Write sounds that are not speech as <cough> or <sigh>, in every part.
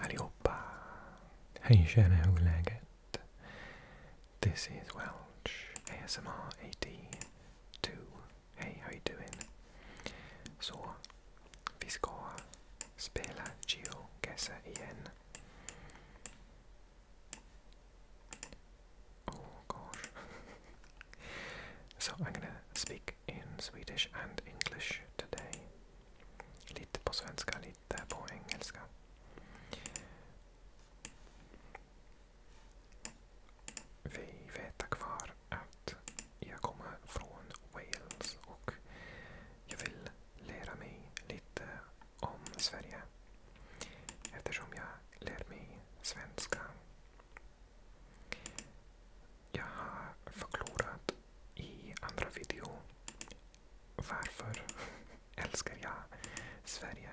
Allihopa! Hej kära hur läget? This is Welch ASMR two. Hey, how you doing? Så, vi ska spela GeoGuessr igen. Oh gosh. <laughs> so I'm gonna speak in Swedish and English today. Lite på svenska, lite på engelska. Vi vet tack vare att jag kommer från Wales och jag vill lära mig lite om Sverige. Eftersom jag lär mig svenska. Jag har förklarat i andra video. Varför <laughs> älskar jag Sverige?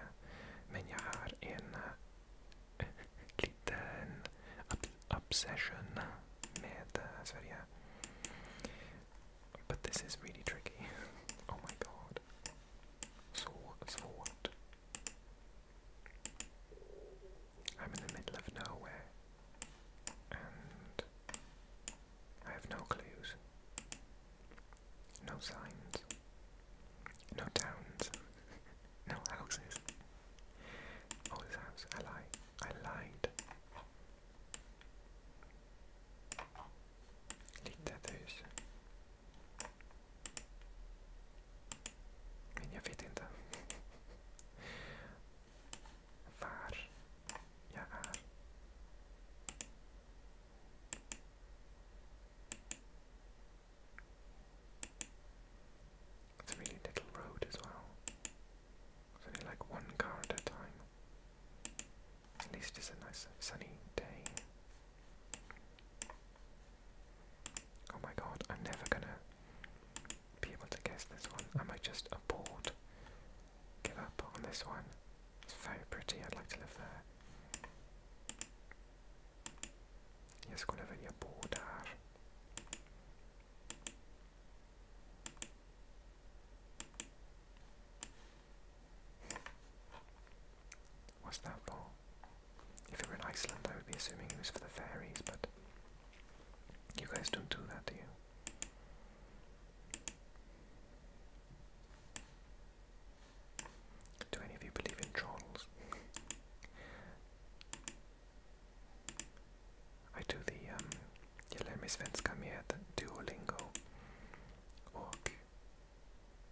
Men jag har en äh, liten obsession med uh, But this is really tricky. Oh my god. sa what? svårt. I'm in the middle of nowhere. I have no clues, no signs, no towns, <laughs> no houses. Oh, this house, I lied, I lied. Littetös. Men jag vet inte var jag er. It's a really little road as well. It's only like one car at a time. At least it's a nice sunny day. Oh my god, I'm never gonna be able to guess this one. I might just board? give up on this one. It's very pretty, I'd like to live there. Yes, Jag skulle vilja board there. What's that for? If it were in Iceland, I would be assuming it was for the fairies, but you guys don't do that, do you? Do any of you believe in trolls? I do the um Jelemy Svenska med Duolingo och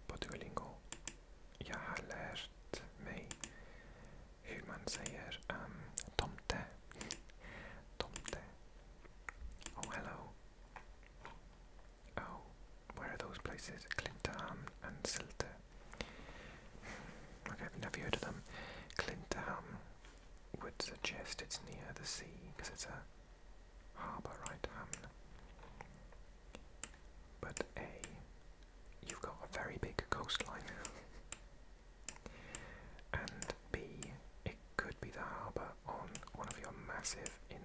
på Duolingo jag har lärt hur man säger um, tomte Tom there. Oh, hello. Oh, where are those places? Clinterham and Silter. Okay, never heard of them. Clinterham would suggest it's near the sea because it's a harbour, right? Hamn. But A, you've got a very big coastline. <laughs> And B, it could be the harbour on one of your massive in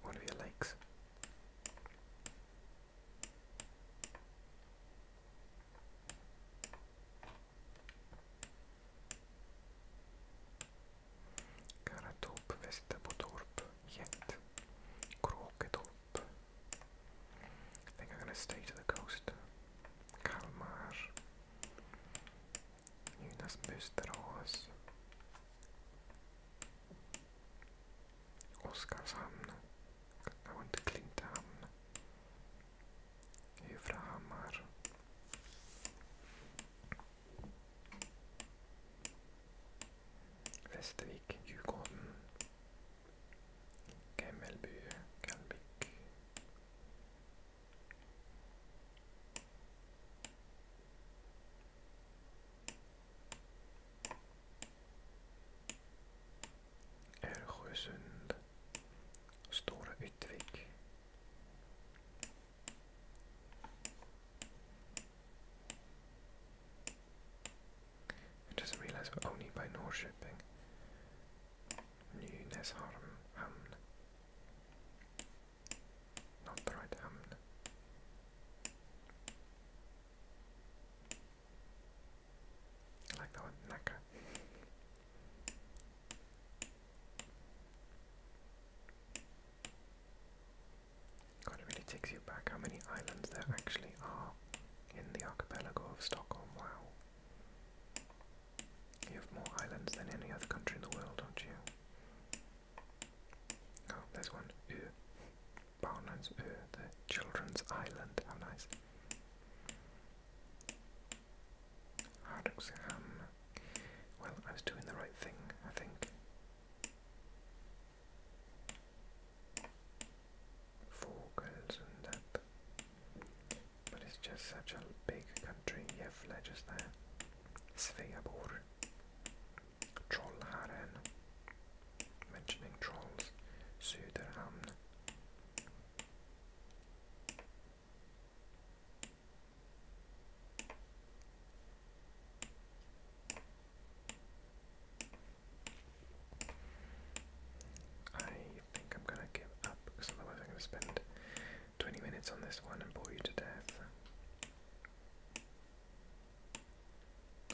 one of your lakes. Karatorp, Västerbotorp, Jet, Kråketorp, I think I'm going to stay to the coast. Kalmar. Jonas Oskarshamn. I went to Klintehamn. Huvudhammar. Västervik, Djurgården. Gammelby, Kalmik. Örsjösund, Stora Yttvik. I just realized we're only by North shipping. Nynäshamn. Not the right hamn. I like that one, Naka. God, it really takes you back how many islands there actually are in the archipelago of Stockholm. Wow. You have more islands than any other country in the world, don't you? Oh, there's one. Ur. Barnlands Ur, the children's island. How nice. Hardoxham. Well, I was doing the right thing, I think vocals and that. But it's just such a big country. Jävla just där. Sveabor. Trollharen. Mentioning trolls. Söderhamn. I think I'm gonna give up because otherwise I'm gonna spend 20 minutes on this one and bore you to death.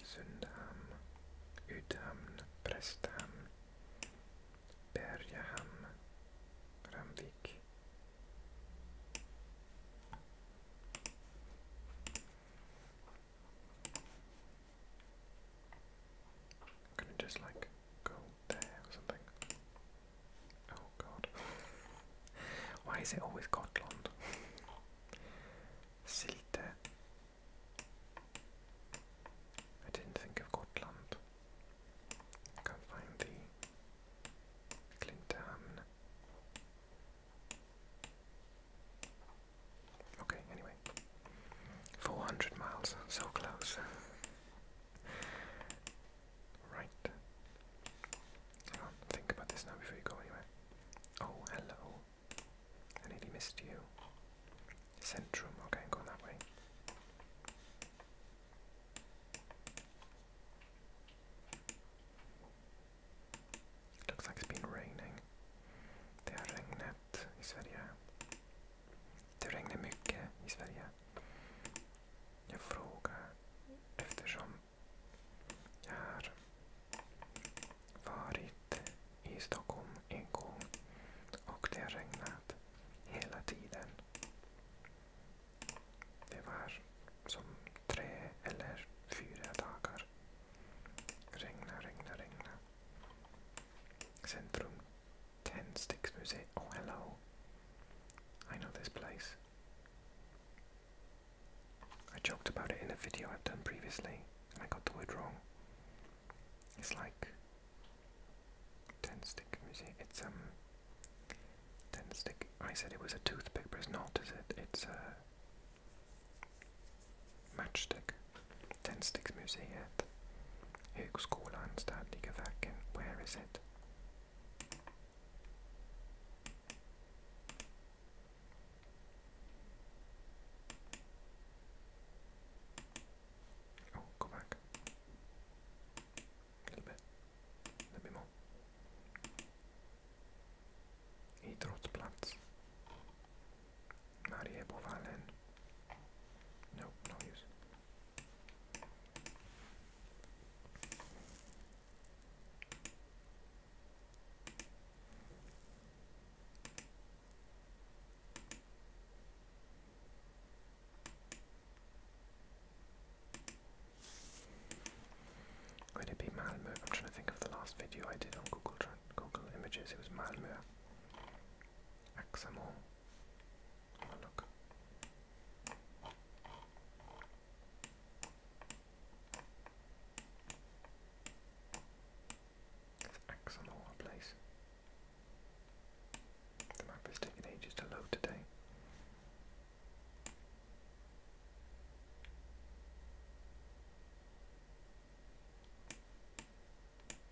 Sundham, Udhamn, Prestham, Berjaham, Ramvik i just like go there or something. Oh god. <laughs> Why is it always Gotland? <laughs> Silte. I didn't think of Gotland. can find the Clinton. Okay, anyway. 400 miles, so close. right. Hang on, think about this now before you go anywhere. Oh, hello. nearly missed you. Centrum, okay, going that way. Looks like it's been raining. The net is very high. Uh, Det regnar mycket i Sverige. Jag frågar eftersom jag har varit i Stockholm en gång och det har regnat hela tiden. Det var som tre eller fyra dagar. Regna, regna, regna. Centrum Ten Sticks Museum. Oh, hello. I know this place. I joked about it in a video I've done previously, and I got the word wrong. It's like Ten Stick Museum. It's um. Ten I said it was a toothpick, but it's not, is it? It's a matchstick. Tändsticksmuseet, Högskolan, Statliga verken på Järvset. Oh, go back. A little bit. A little bit more. Idrottsplats. Mariebovallen. No, no use. Would it be Malmo? I'm trying to think of the last video I did on Google Google Images. It was Malmo. Axamol. Oh, look. It's Axamol, a place. The map is taking ages to load today.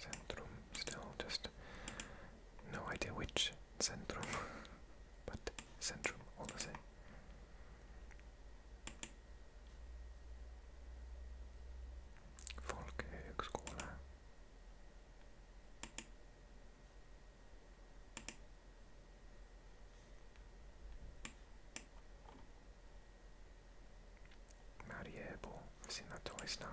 Centrum, still just no idea which Centrum, <laughs> but Centrum all the same. Folkhögskola. Eh? Mighty Airball. I've seen that twice now.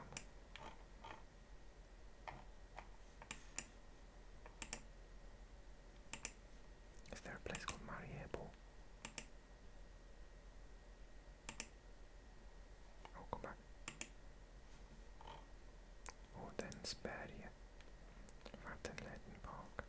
Is there a place called Mariable? Oh, come back. Och Odensberg, Vattenledenborg.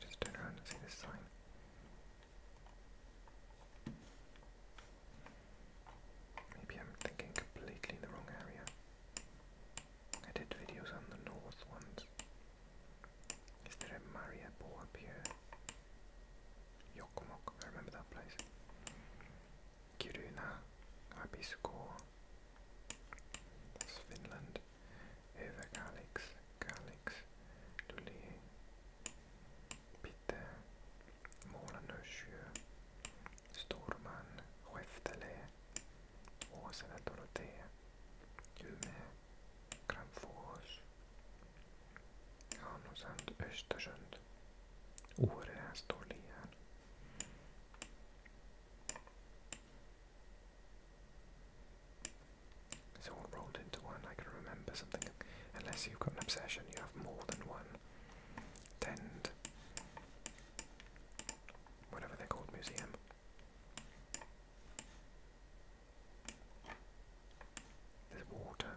Just turn around and see this sign. Maybe I'm thinking completely in the wrong area. I did videos on the north ones. Is there a Mariapo up here? Yokomok, I remember that place. Kiruna, Abisko. That's Finland. Eva Kalix, Kalix, Duli, Pite, Målanörsjö, Storman, Skäftele, Åsele, Dorotea, Umeå, Kramfors, Hamnosand, Östersund, Åre, Storlien. rolled into one. I can remember something. Unless you've got an obsession, you have more than one. Tend. Whatever they're called, museum. There's water.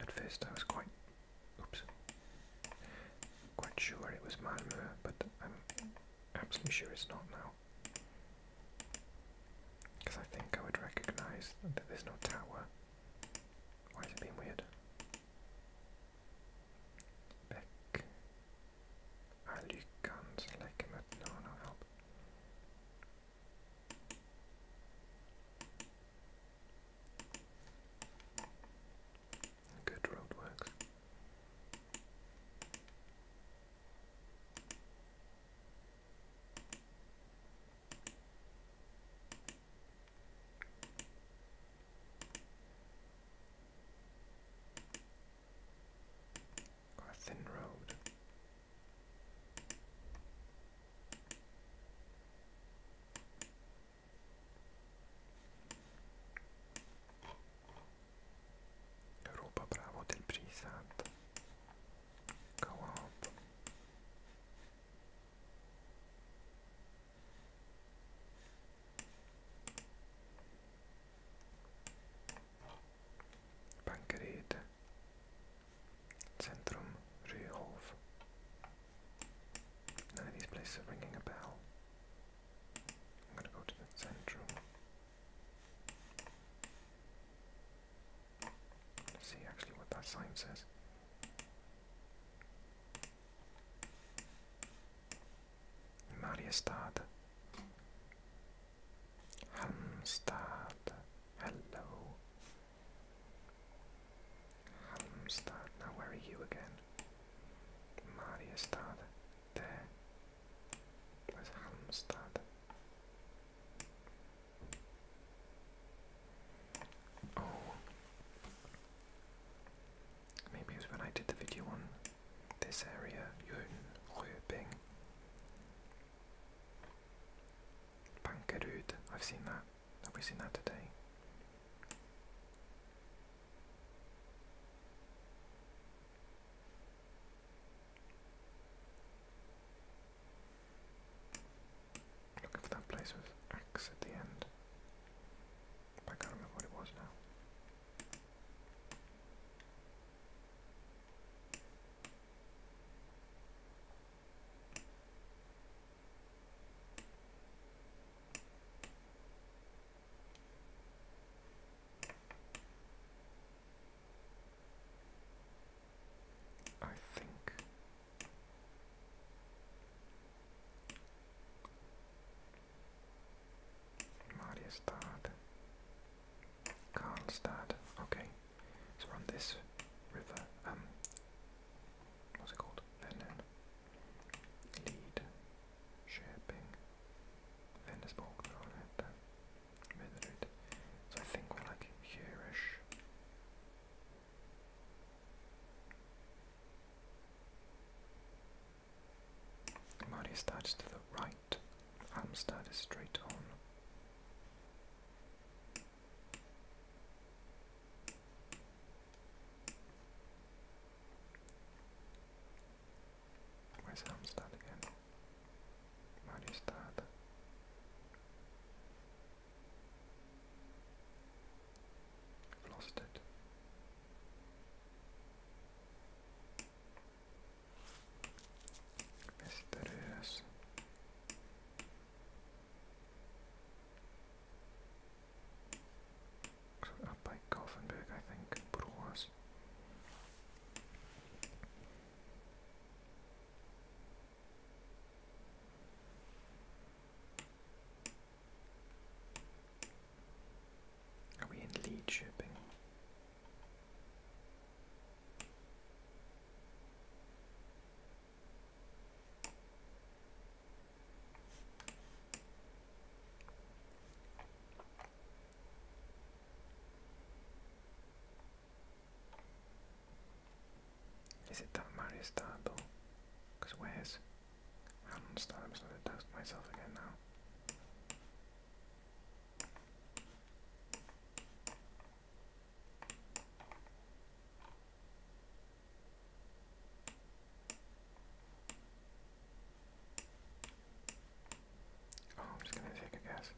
At first I was quite, oops, quite sure it was Manmur, but I'm absolutely sure it's not now. Because I think I would recognise that there's no tower. Why is it being weird? Beck. Alukans, ah, like him, no, no help. Good roadworks. or a thin road. Europa Bravo del Brisant Co-op Bancherete Centrum Ryhof. None of these places are ringing a bell. I'm gonna go to the Centrum. see actually what that sign says. Mariestad. Halmstad. Hello. Halmstad. Now where are you again? Mariestad. There. Where's Halmstad? Oh. Maybe it was when I did the video on this area, Jönköping. Bankerud, I've seen that. Have we seen that today? Looking for that place with axe at the end. I can't remember what it was now. I think Mariestad, Karlstad, okay. So we on this river. Um, what's it called? Vernon. Lead. Shaping. Vendersborg. They're all right there. So I think we're like here-ish. Marty starts to the right front. Amsterdam is straight on. Where's Amsterdam again? Mariestad. i lost it. Mysterious. Up by Gothenburg, I think, but was. Are lead shipping? Is it that Mario startable? Because where's... I'm going to task myself again now. Oh, I'm just gonna take a guess.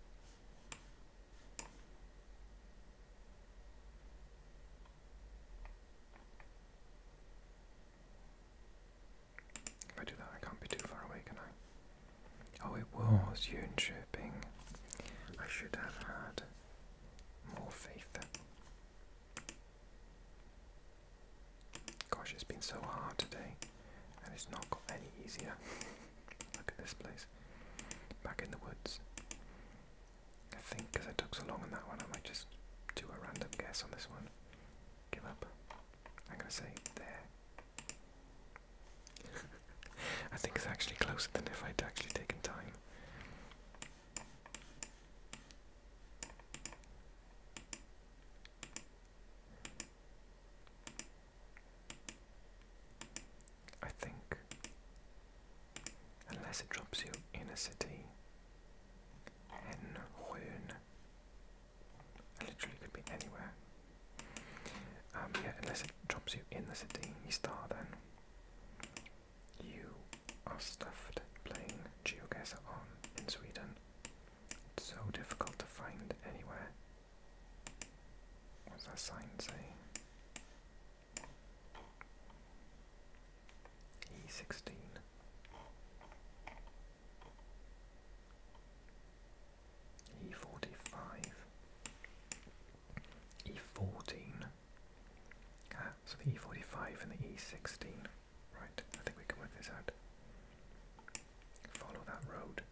If I do that, I can't be too far away, can I? Oh, it was Yun-Chirping. I should have had more faith. Gosh, it's been so hard today, and it's not got any easier. <laughs> Look at this place. Back in the woods. I think because I took so long on that one, I might just do a random guess on this one. Give up. I'm going to say there. <laughs> I think it's actually closer than if I'd actually taken time. I think, unless it drops you in a city, and Rhön, I literally could be anywhere. Um, unless it drops you in the Sedini Star, then you are stuffed playing GeoGuessr on in Sweden. It's so difficult to find anywhere. What's that sign say? E16 e45, e14. Ah, so the e45 and the e16. Right, I think we can work this out. Follow that road.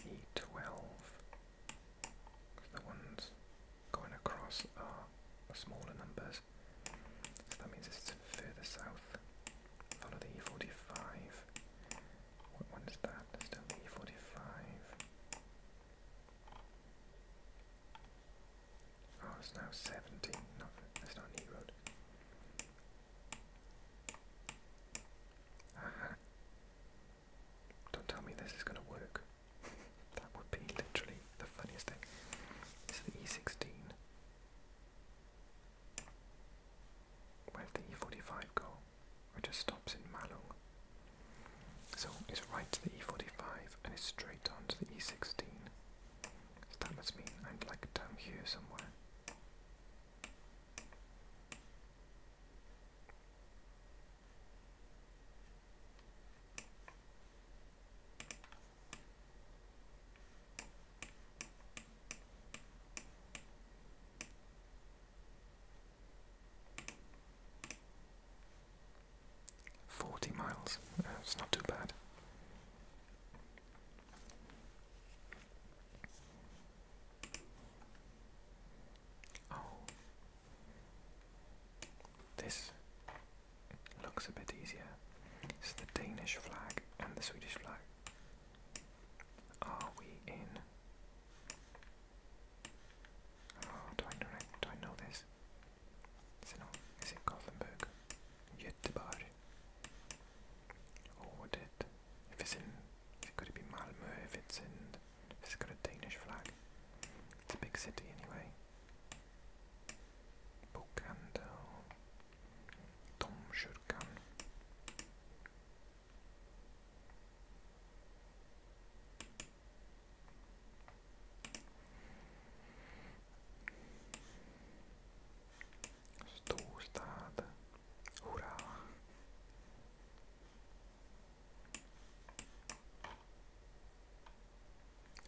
E12. So the ones going across are smaller numbers. So that means it's further south. Follow the E45. What one is that? still the E45. Oh, it's now 70. No, that's not an Don't tell me this is going to work. <laughs> that would be literally the funniest thing. It's the E16 where the E45 go, which just stops in Malung. So it's right to the E45 and it's straight on to the E16. So that must mean I'm like down here somewhere. Forty miles. it's not too bad. Oh, this looks a bit easier. It's the Danish flag and the Swedish flag are we in? Oh, do I know? this? Is it Gothenburg? Göteborg? Or oh, would If it's in, it could be Malmo? If it's in, if it's got a Danish flag, it's a big city anyway. Bokhandel domkyrkan. Storstad. Hurra!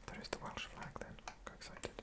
There is the Welsh flag then. Go excited.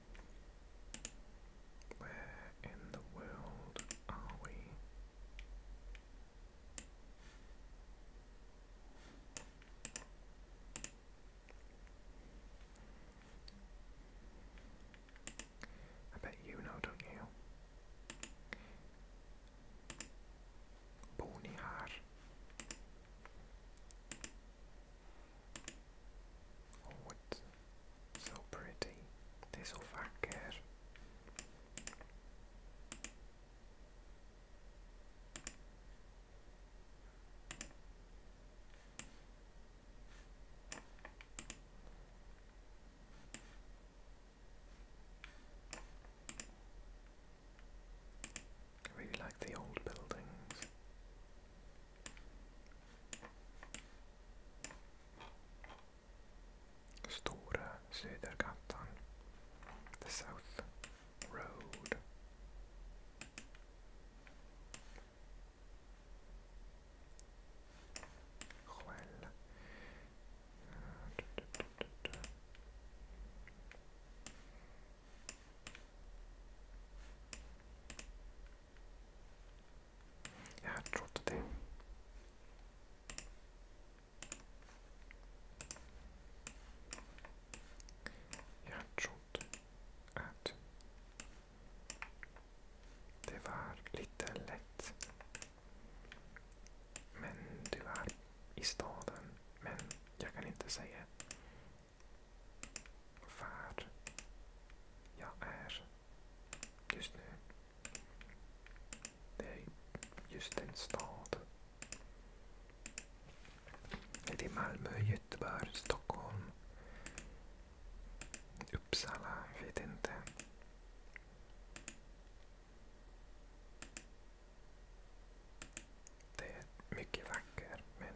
Where in the world are we? I bet you know, don't you? Bonihar. Oh, it's so pretty. They're so vacker. I really like the old buildings. Stora Södergatan. The South Road. Skäll. Jag hade trott det. Jag trodde att det var lite lätt. Men det i staden. Men jag kan inte säga var jag är. Just nu. Det är just en stad. Det är Malmö, Göteborg, Stockholm. Uppsala, jag vet inte. Det är mycket vackert men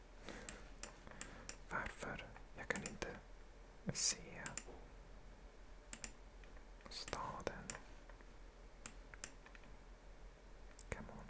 Varför? Jag kan inte se staden. Come on.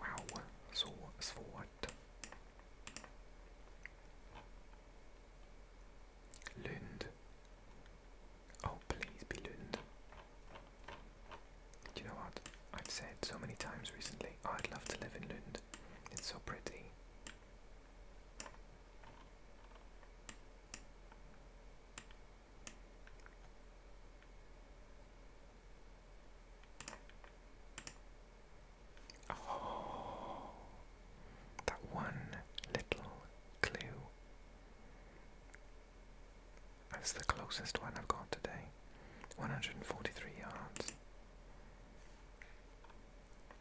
Wow, so so what? Oh, please be Lund. Do you know what? I've said so many times recently, oh, I'd love to live in Lund. It's so pretty. Oh, that one little clue. That's the closest one I've got today. 143 yards.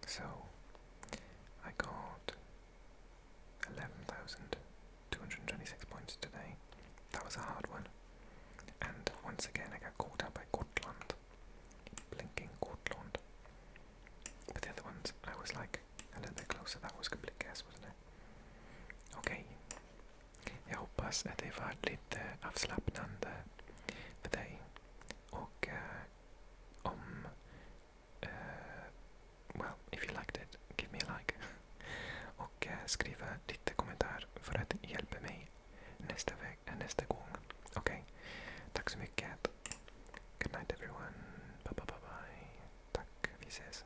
So I got 11,226 points today. That was a hard one. And once again, I got caught out by Gotland. Blinking Gotland. But the other ones, I was like a little bit closer. That was complete guess, wasn't it? Okay, Jag hoppas att det var lite avslappnande för dig. Och uh, om... Uh, well, if you liked it, give me a like. <laughs> Och uh, skriva lite kommentar för att hjälpa mig nästa, väg, nästa gång. Okej? Okay? Tack så mycket. Good night everyone. Bye, bye, bye, bye. Tack. Vi ses.